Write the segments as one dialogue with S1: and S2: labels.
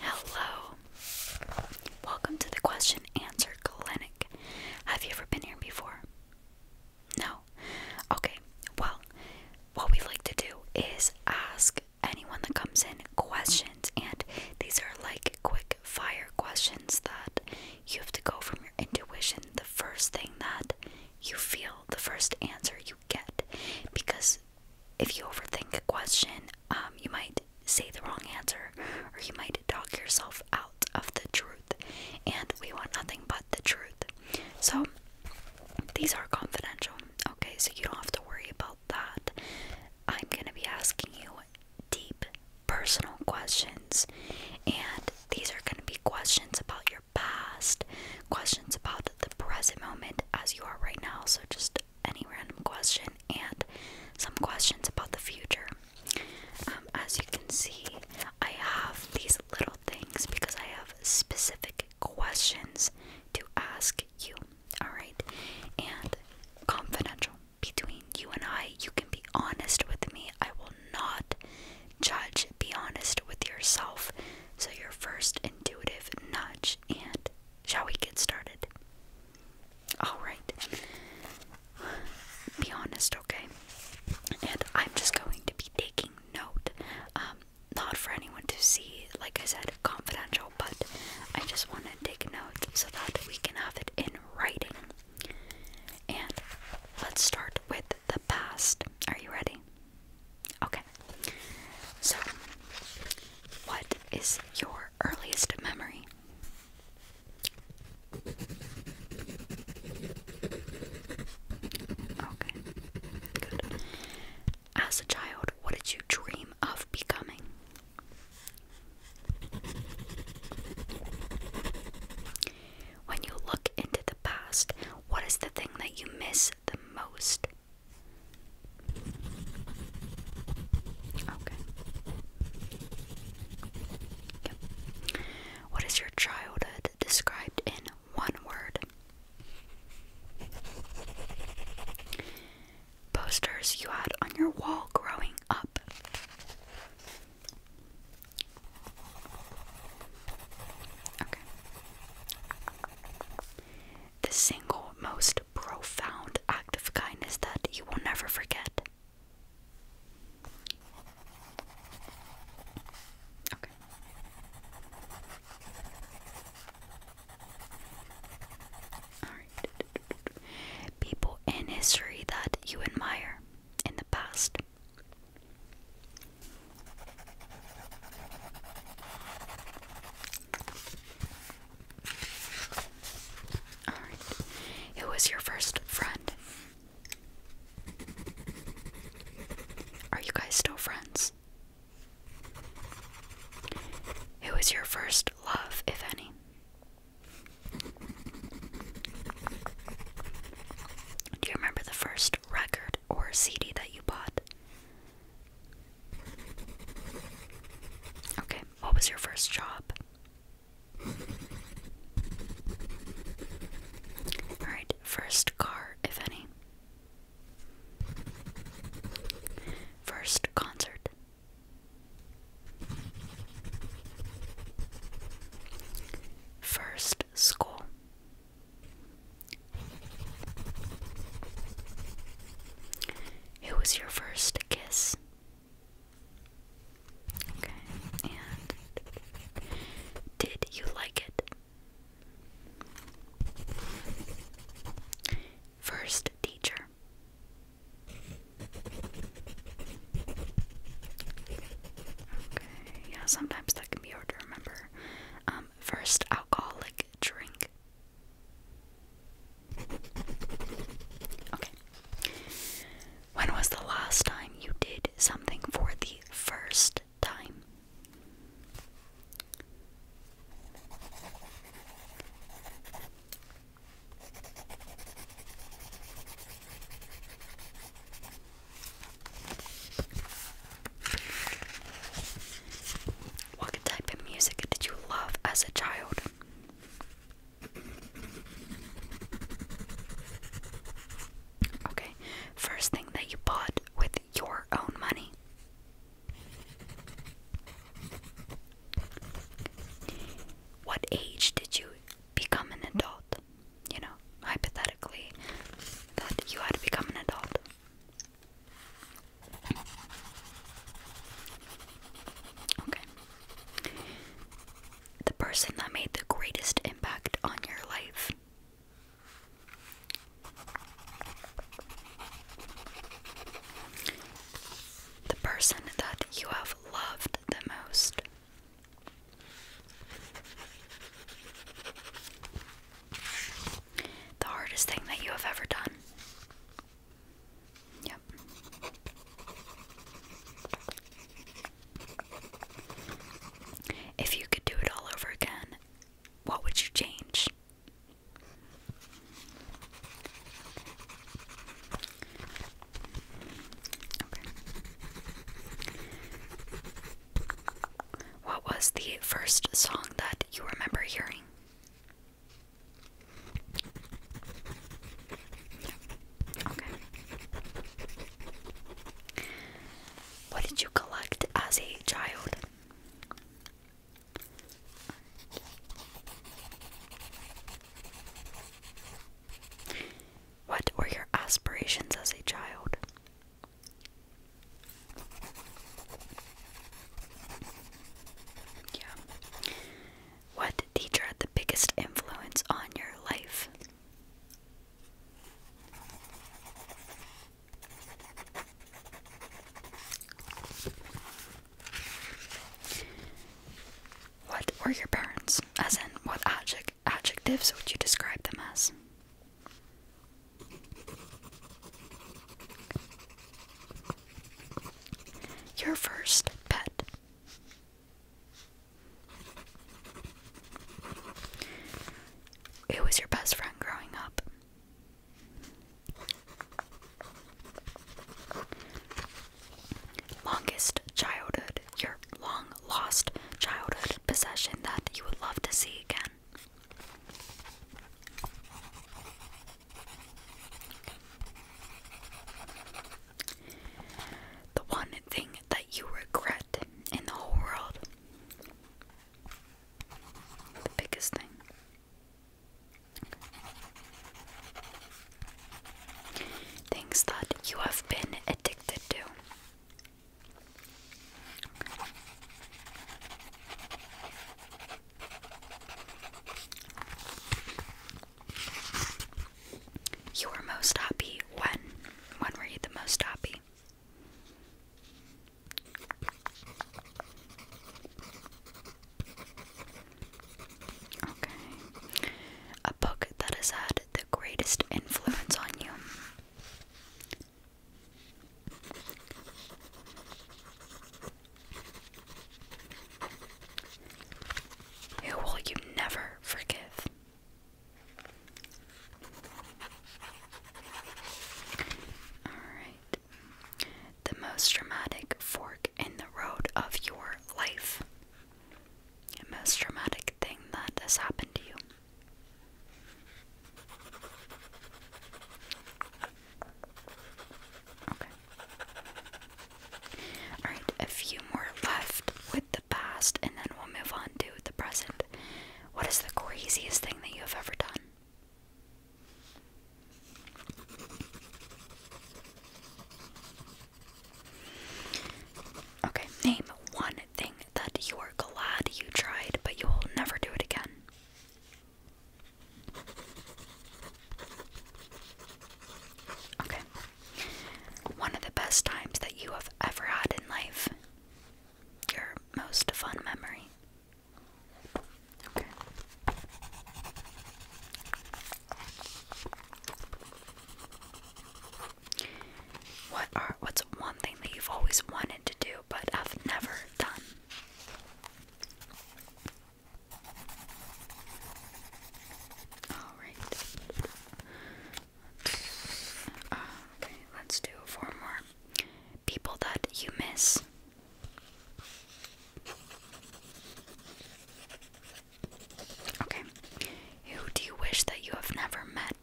S1: Hello! Welcome to the question answer clinic. Have you ever been here before? No? Okay, well, what we like to do is ask anyone that comes in questions, and these are like quick fire questions that you have to go from your intuition. The first thing that you feel the first answer you get. Because if you overthink a question, um, you might say the wrong answer or you might talk yourself out of the truth. And we want nothing but the truth. So, these are confidential, okay? So, you don't have to worry about that. I'm going to be asking you deep personal questions, and these are going to be questions about your past, questions about the present moment as you are right now, so just any random question, and some questions about the future. Um, as you can see, I have these little things because I have specific questions to ask you. Alright? And confidential between you and I. You can be honest with me. I will not judge. Be honest with yourself. So, your first intuitive nudge. And shall we get started? Alright. Be honest, okay? And I'm just going to be taking note. Um, not for anyone to see, like I said, confidential, but I just want to take notes so that we can have it in writing. And let's start with the past. Are you ready? Okay. So, what is your earliest memory? Okay. Good. As a child, what did you dream of becoming? When you look into the past, what is the thing that you miss the most? Okay. What is your childhood described in one word? Posters you had on your wall growing up. The single most profound act of kindness that you will never forget. People in history that you admire in the past. Who was your first friend? Are you guys still friends? Who was your first love, if any? Do you remember the first record or CD that you bought? Okay, what was your first job? Alright, first car, if any. First concert. First school. It was your first kiss? Okay, and did you like it? First teacher. Okay, yeah, sometimes that can be hard to remember. Um, first alcoholic drink. Okay. When was the last time you did something for the first time? What type of music did you love as a child? Okay, first thing that you bought with your own money. What age did you become an adult? you know, hypothetically, that you had to become an adult. Okay. The person that made the greatest impact on your life. The person that you have loved the most. The hardest thing that you have ever done. Yep. If you could do it all over again, what would you change? What was the first song that you remember hearing? Okay. What did you collect as a child? What were your aspirations as a child? Yeah. What teacher had the biggest influence on your life? What were your parents? As in, what adjective? adjectives would you describe them as? Your first pet. It was your best friend growing up? Longest childhood. Your long lost childhood possession that you would love to see again? The one thing that you regret in the whole world. The biggest thing. Things that you have been addicted addicted to. You were most happy when? When were you the most happy? Okay a book that has had the greatest influence on you. Who will you never forgive? Alright. The most dramatic fork in the road of your life most traumatic thing that has happened to you? Okay. Alright, a few more left with the past, and then we'll move on to the present. What is the craziest thing that you have ever done? Okay, name one thing that you are glad you tried, but you will never do it again. Okay. One of the best times that you have ever had in life. Your most fun memory. Okay. What are what's one thing that you've always wanted to do but have never done? Alright. okay, let's do four more. People that you miss. Okay. Who do you wish that you have never met?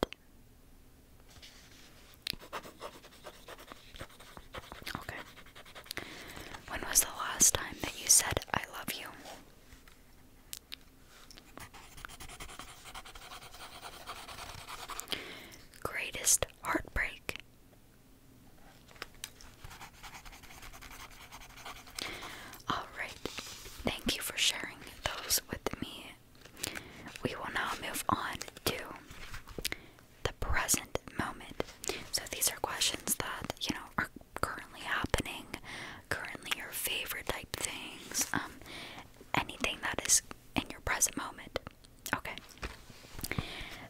S1: Okay. When was the last time that you said, I love you? Greatest heartbreak. Alright, thank you for sharing those with me. We will now move on to the present moment. So, these are questions that, you know, are currently happening, currently your favorite type things, um, anything that is in your present moment. Okay.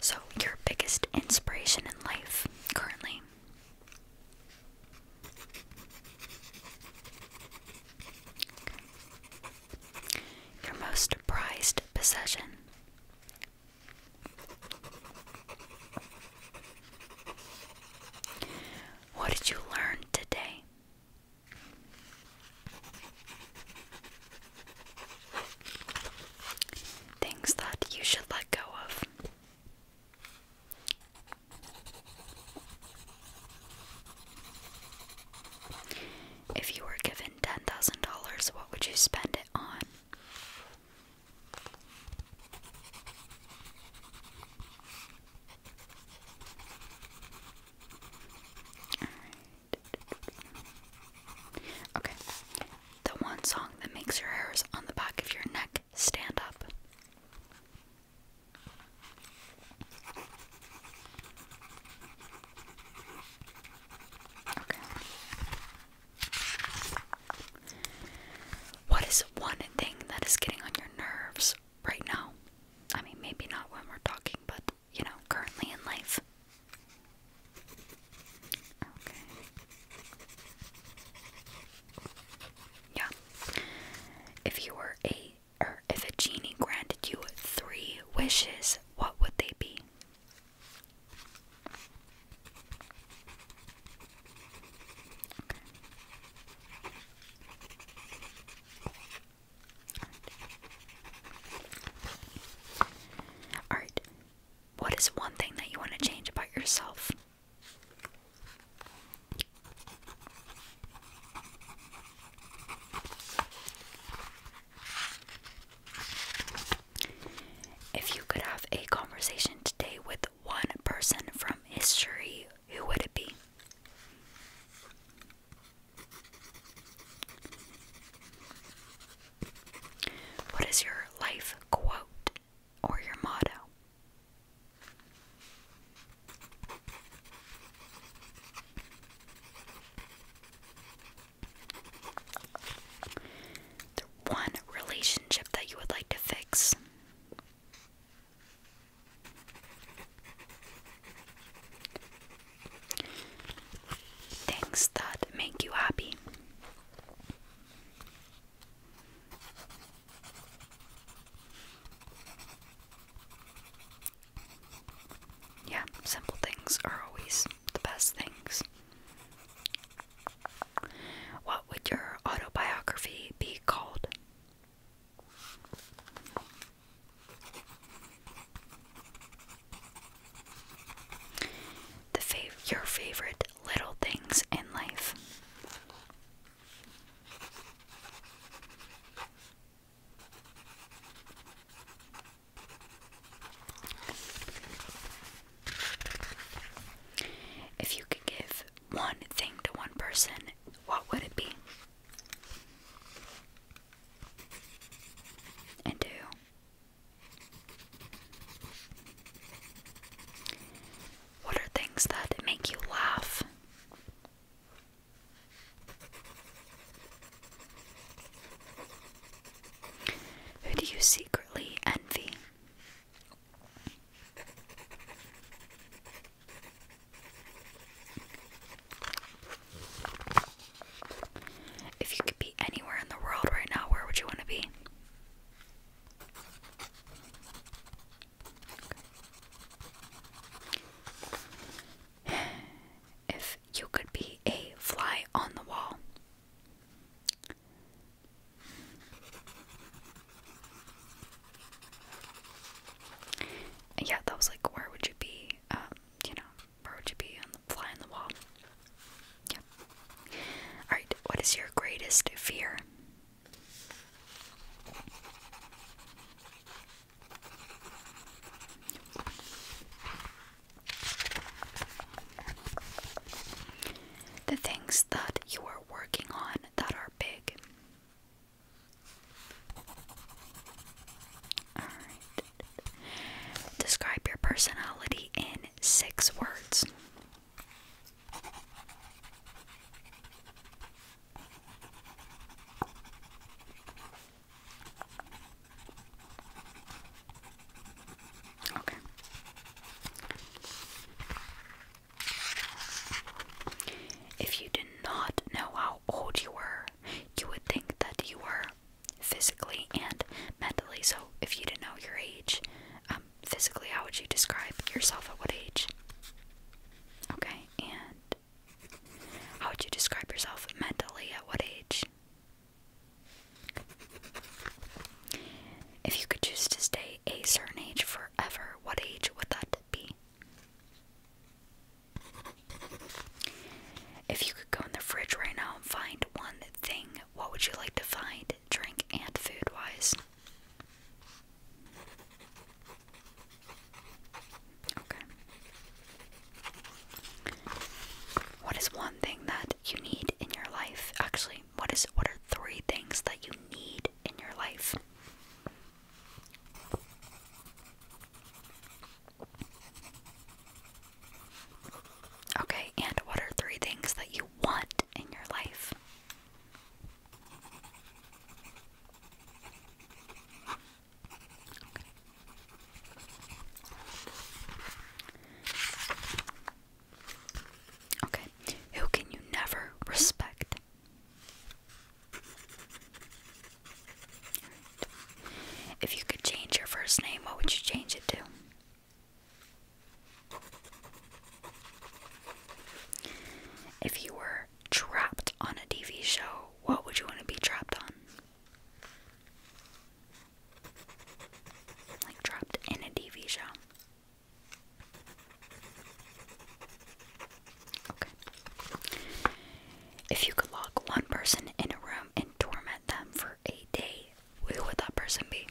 S1: So, your biggest inspiration in life currently? Your most prized possession. What did you learn today? Things that you should let go of. If you were given $10,000, what would you spend it on? Okay. The one song that makes your hairs on the back of your neck stand up. What is one thing that is getting on your nerves right now? I mean, maybe not when we're talking, but you know, currently in life. Yeah. If you were a or if a genie granted you three wishes, what would they be? Alright. What is one thing that you want to change about yourself? If you could have a conversation today with one person from history, who would it be? What is your life quote? or your motto. The one relationship that you would like to fix. Things that make you happy. Yeah, simple things are always the best things. What would your autobiography be called? The fav your favorite little things in life. If you could give one thing to one person, what would it be? And do what are things that make you laugh? Who do you secretly envy? If you could be anywhere in the world right now, where would you want to be? If you could be a fly on the wall, yeah, that was like, where would you be? Um, you know, where would you be on the fly on the wall? Yeah. All right. What is your greatest fear? The things that you are working on that are big. All right. Describe your personality in six words. Okay. If you did not know how old you were, you would think that you were physically and mentally. So, if you didn't know your age, um, physically, how would you describe yourself at what age? Okay, and how would you describe yourself mentally at what age? If you could choose to stay a certain age forever, what age would that be? If you could go in the fridge right now and find one thing, what would you like to find, drink and food wise? Okay. What is one thing that you need in your life? Actually, what is what are three things that you need in your life? Okay, and what are three things that you want in your life? Okay. Who can you never respect? If you could change your first name, what would you change it to? If you were trapped on a TV show, what would you want to be trapped on? Like trapped in a TV show. Okay. If you could lock one person in a room and torment them for a day, who would that person be?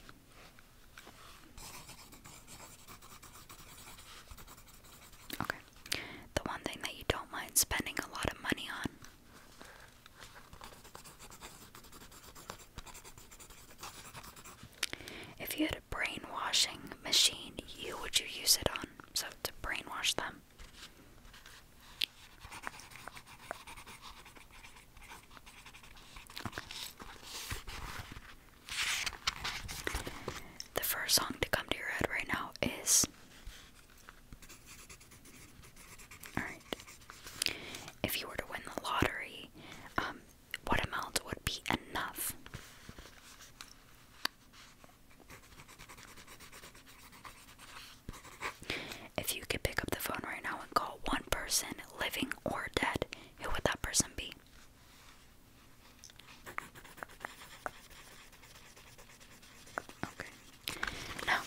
S1: Okay. The one thing that you don't mind spending a lot of money on. If you had a brainwashing machine, you would you use it on? So to brainwash them. The first song to come to your head right now is. Alright. If you were to win the lottery, um, what amount would be enough? If you could pick up the phone right now and call one person, living or dead, who would that person be? Okay. Now,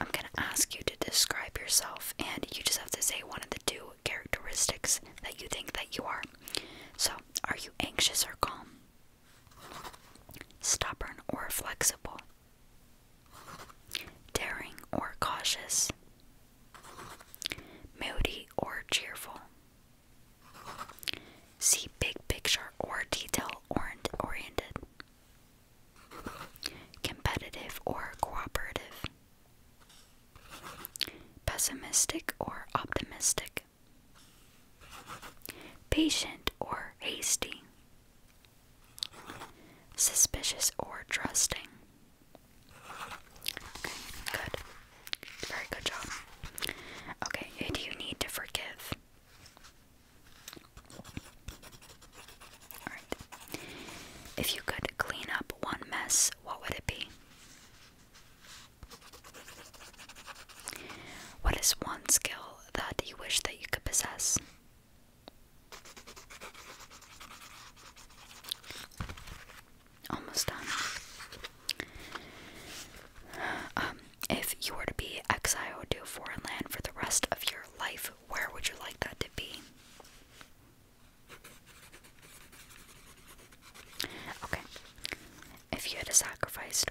S1: I'm going to ask you to describe yourself, and you just have to say one of the two characteristics that you think that you are. So, are you anxious or calm? Stubborn or flexible? Daring or cautious? Moody or cheerful. See big picture or detail oriented. Competitive or cooperative. Pessimistic or optimistic. Patient or hasty. Suspicious or trusting. Okay, good. Very good job. Okay, do you need to forgive? Alright. If you could clean up one mess, what would it be? What is one skill that you wish that you could possess? Almost done. Um, if you were to be exiled to a foreign land for the rest of your life, where would you like that to be? Okay. If you had to sacrifice,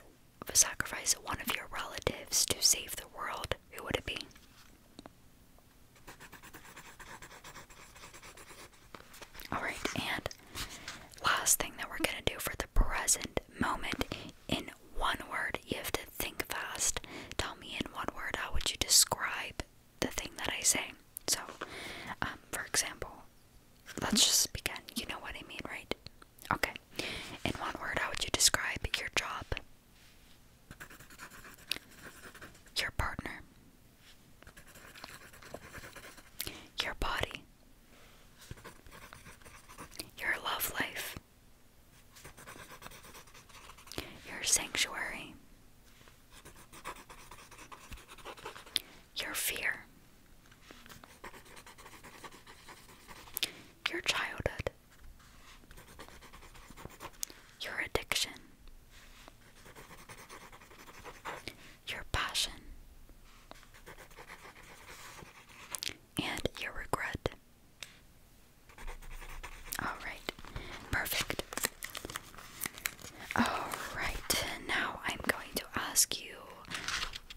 S1: sacrifice one of your relatives to save the world, who would it be? Alright, and last thing that we're going to do for the present moment in one word, you have to think fast. Tell me in one word how would you describe the thing that I say. So, um, for example, let's just begin. You know what I mean, right? Okay. In one word, how would you describe your job? Your partner. Your body. Your love life. Your sanctuary. Your fear. Your childhood. Your addiction. Your passion. And your regret. Alright, perfect. Alright, now I'm going to ask you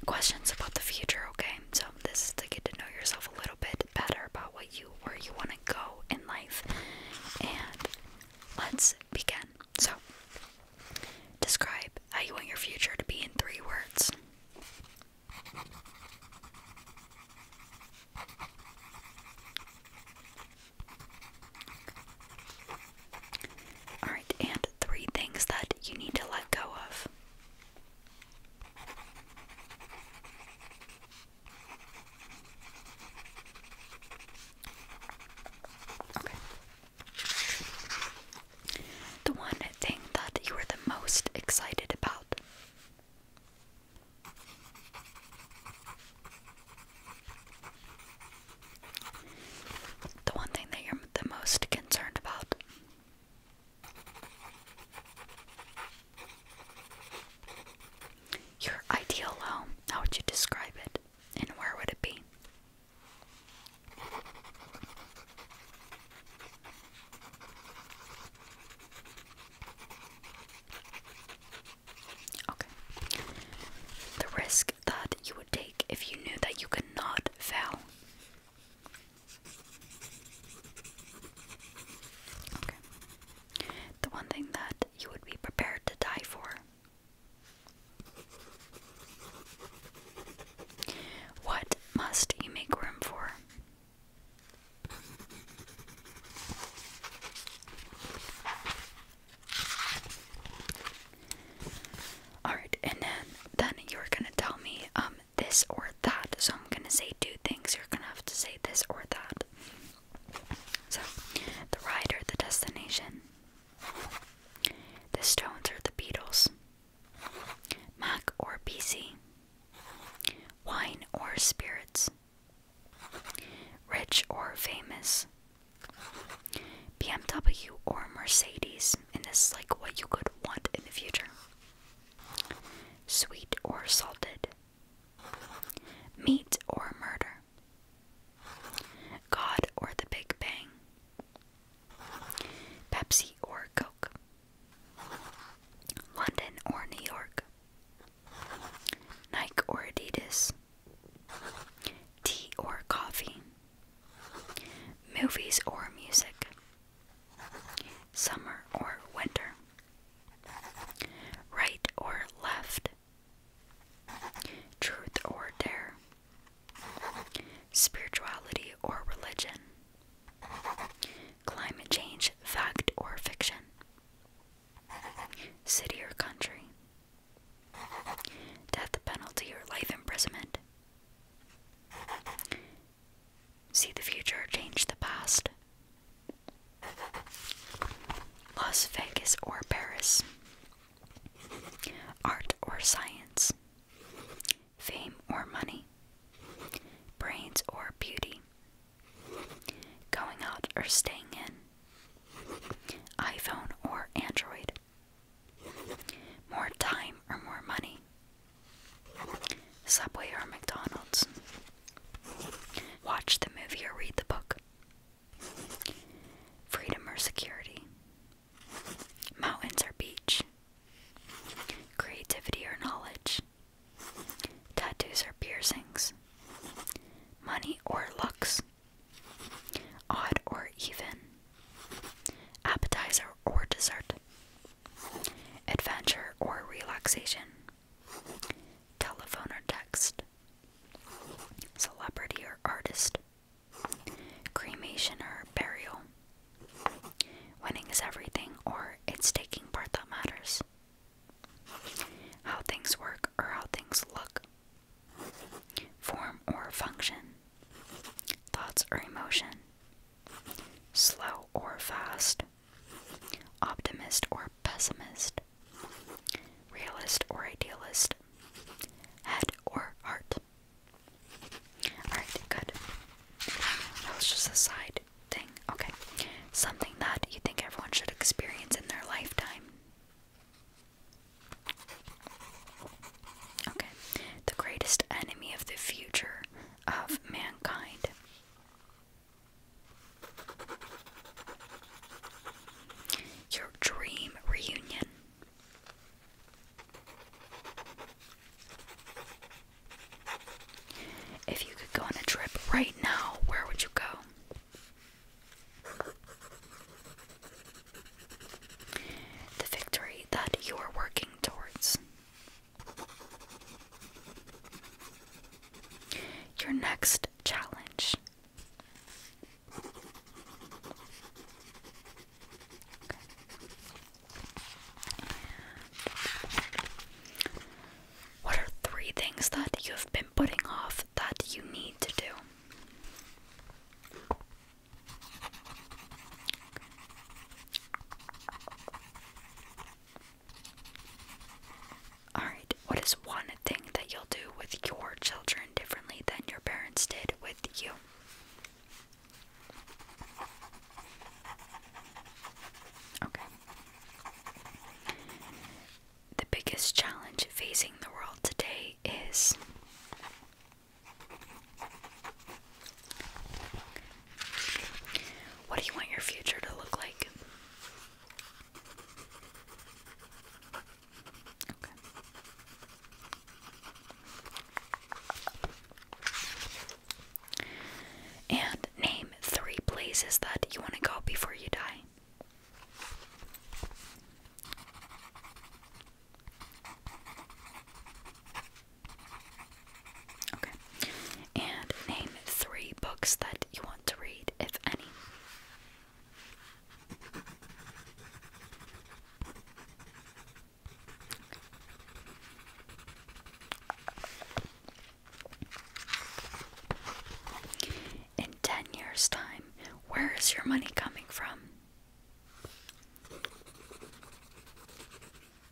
S1: questions about the future, okay? So, this is to get to know yourself a little bit better about what you where you want to go in life. And let's begin. So, describe how you want your future to be in three words. Alright, and three things that you need to let go of. The one thing that you were the most excited about. The one thing that you're the most concerned about. Your ideal home, how would you describe it? And where would it be? Okay. The risk that you would take if you knew that you could not fail. Okay. The one thing that you would be prepared to die for. What must you make room for? Alright, and then then you're gonna tell me um this or that. So I'm gonna say two things. You're gonna have to say this or that. So, the ride or the destination. The Stones or the Beatles. Mac or PC. Wine or spirits. Rich or famous. BMW or Mercedes. And this is like what you could want in the future. Sweet or salted. Meat or Murder, God or the Big Bang, Pepsi or Coke, London or New York, Nike or Adidas, Tea or Coffee, Movies or Music, Summer or Winter. Right or left? Truth or dare? Spirituality or religion? Climate change, fact or fiction? City or country? Death penalty or life imprisonment? See the future, change the past. Las Vegas or Paris. Art or science. Fame or money. Brains or beauty. Going out or staying in. iPhone or Android. More time or more money. Subway or McDonald's. Watch the movie or read the book. Freedom or security. Mountains or beach. Creativity or knowledge. Tattoos or piercings. Money or looks. Odd or even. Appetizer or dessert. Adventure or relaxation telephone or text, celebrity or artist, cremation or burial. Winning is everything, or it's taking part that matters. How things work or how things look. Form or function. Thoughts or emotion. Slow or fast. Optimist or pessimist? Realist or idealist? Head or heart? Alright, good. That was just a side thing. Okay. Something that you think everyone should experience in their lifetime. Okay. The greatest enemy of the future of mankind. Your dream reunion. If you could go on a trip right now, where would you go? The victory that you are working towards. Your next challenge. What are three things that you have been putting off that you need to do? Alright, what is one thing that you'll do with your children differently than your parents did with you? Okay. The biggest challenge facing the world today is what do you want your future to look like? And name three places that you want to go before you die. Okay. And name three books that you want to read, if any. Okay. In 10 years' time, where is your money coming from?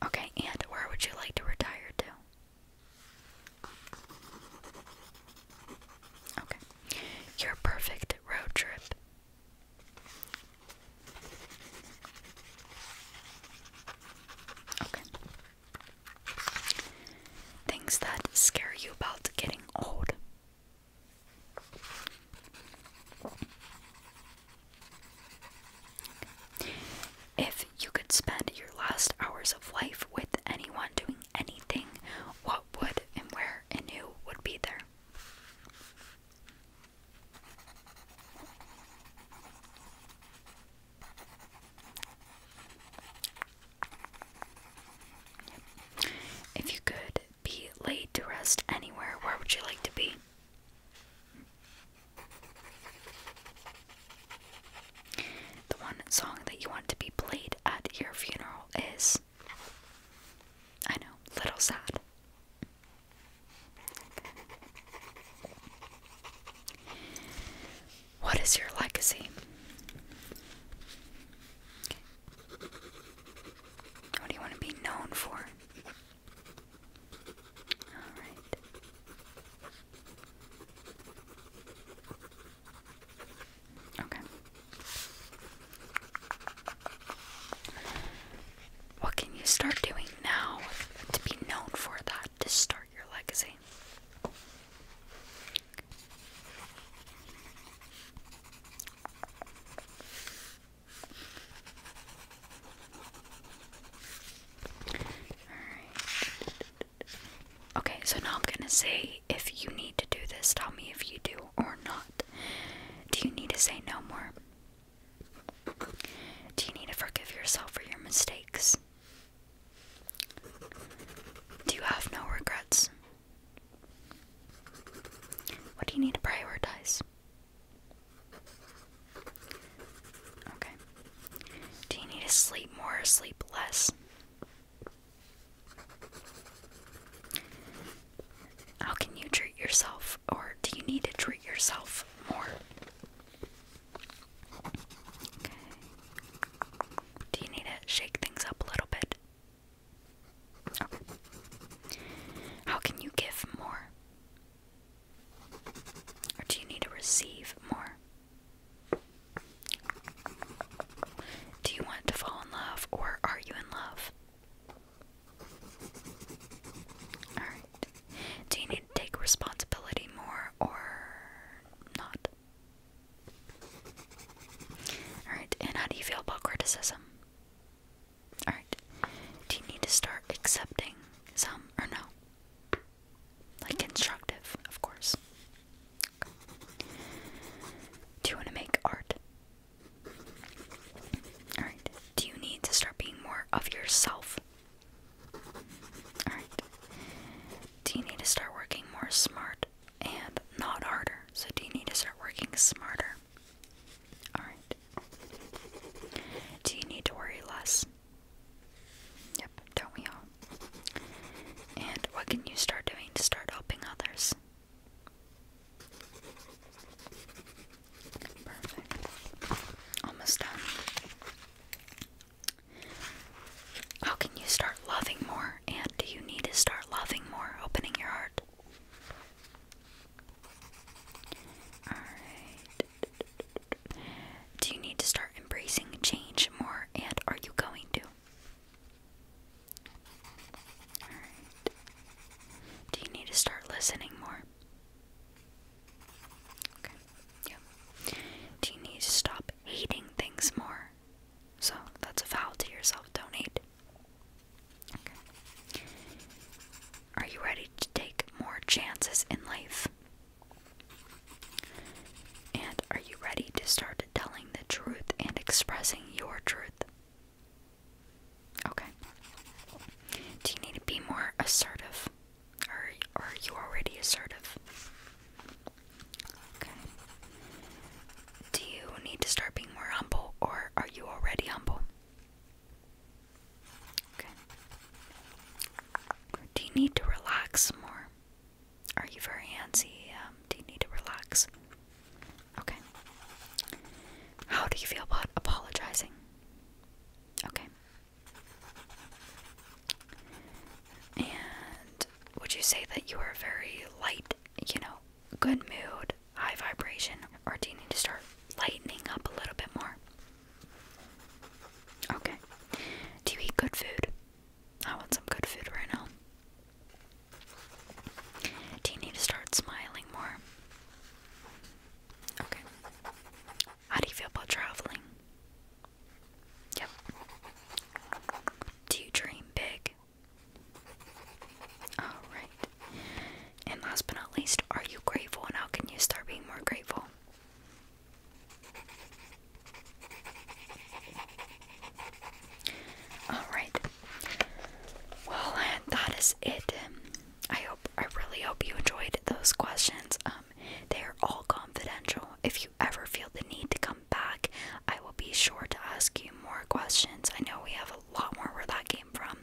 S1: Okay, and where would you like to retire to? Okay. Your perfect road trip. Okay. Things that scare you about getting old. If you could spend your last hours of life with anyone doing anything, what would and where and who would be there? If you could be laid to rest anywhere, where would you like to be? The one song that you want to be played at your funeral is. I know, Little Sad. What is your legacy? What do you want to be known for? What can you start doing now to be known for that to start your legacy? Okay, so now I'm gonna say if you need to do this, tell me if you do or not. Do you need to say no more? Do you need to forgive yourself for your mistakes? Do you have no regrets? What do you need to prioritize? Okay. Do you need to sleep more or sleep less? How can you treat yourself, or do you need to treat yourself more? Do you need to shake things up a little bit? How can you give more? Or do you need to receive more? Do you want to fall in love or are you in love? Alright. Do you need to take responsibility more or not? Alright, and how do you feel about criticism? Alright. Do you need to start accepting some or no? Like constructive, of course. Do you want to make art? Alright. Do you need to start being more of yourself? Alright. Do you need to start working more smart and not harder? So, do you need to start working smarter? Alright. Do you need to worry less? Yep, don't we all? And what can you start doing to start helping others? Perfect. Almost done. How can you start loving more? And do you need to start loving more, opening your heart? Do you need to start embracing change more, and are you going to? Do you need to start listening more? Do you need to stop hating things more? So that's a vow to yourself, Donate. Are you ready to take more chances in life? And are you ready to start telling the truth and expressing your truth? Okay. Do you need to be more assertive? Or are you already assertive? Okay. Do you need to start being more humble or are you already humble? do you need to relax more? Are you very antsy? Um, do you need to relax? Okay. How do you feel about apologizing? Okay. And would you say that you are very light, you know, good mood, high vibration, or do you need to start lightening up a little bit more? Okay. Do you eat good food? I want some good food right now. Do you need to start smiling more? Okay. How do you feel about traveling? Yep. Do you dream big? Alright. And last but not least, are you grateful and how can you start being more grateful? Alright. Well, that is it. I hope I really hope you enjoyed those questions. Um, they are all confidential. If you ever feel the need to come back, I will be sure to ask you more questions. I know we have a lot more where that came from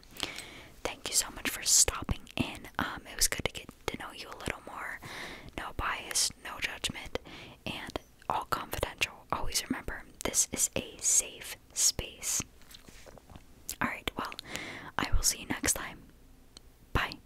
S1: thank you so much for stopping in. Um, it was good to get to know you a little more. No bias, no judgment, and all confidential. Always remember, this is a safe space. Alright, well, I will see you next time. Bye.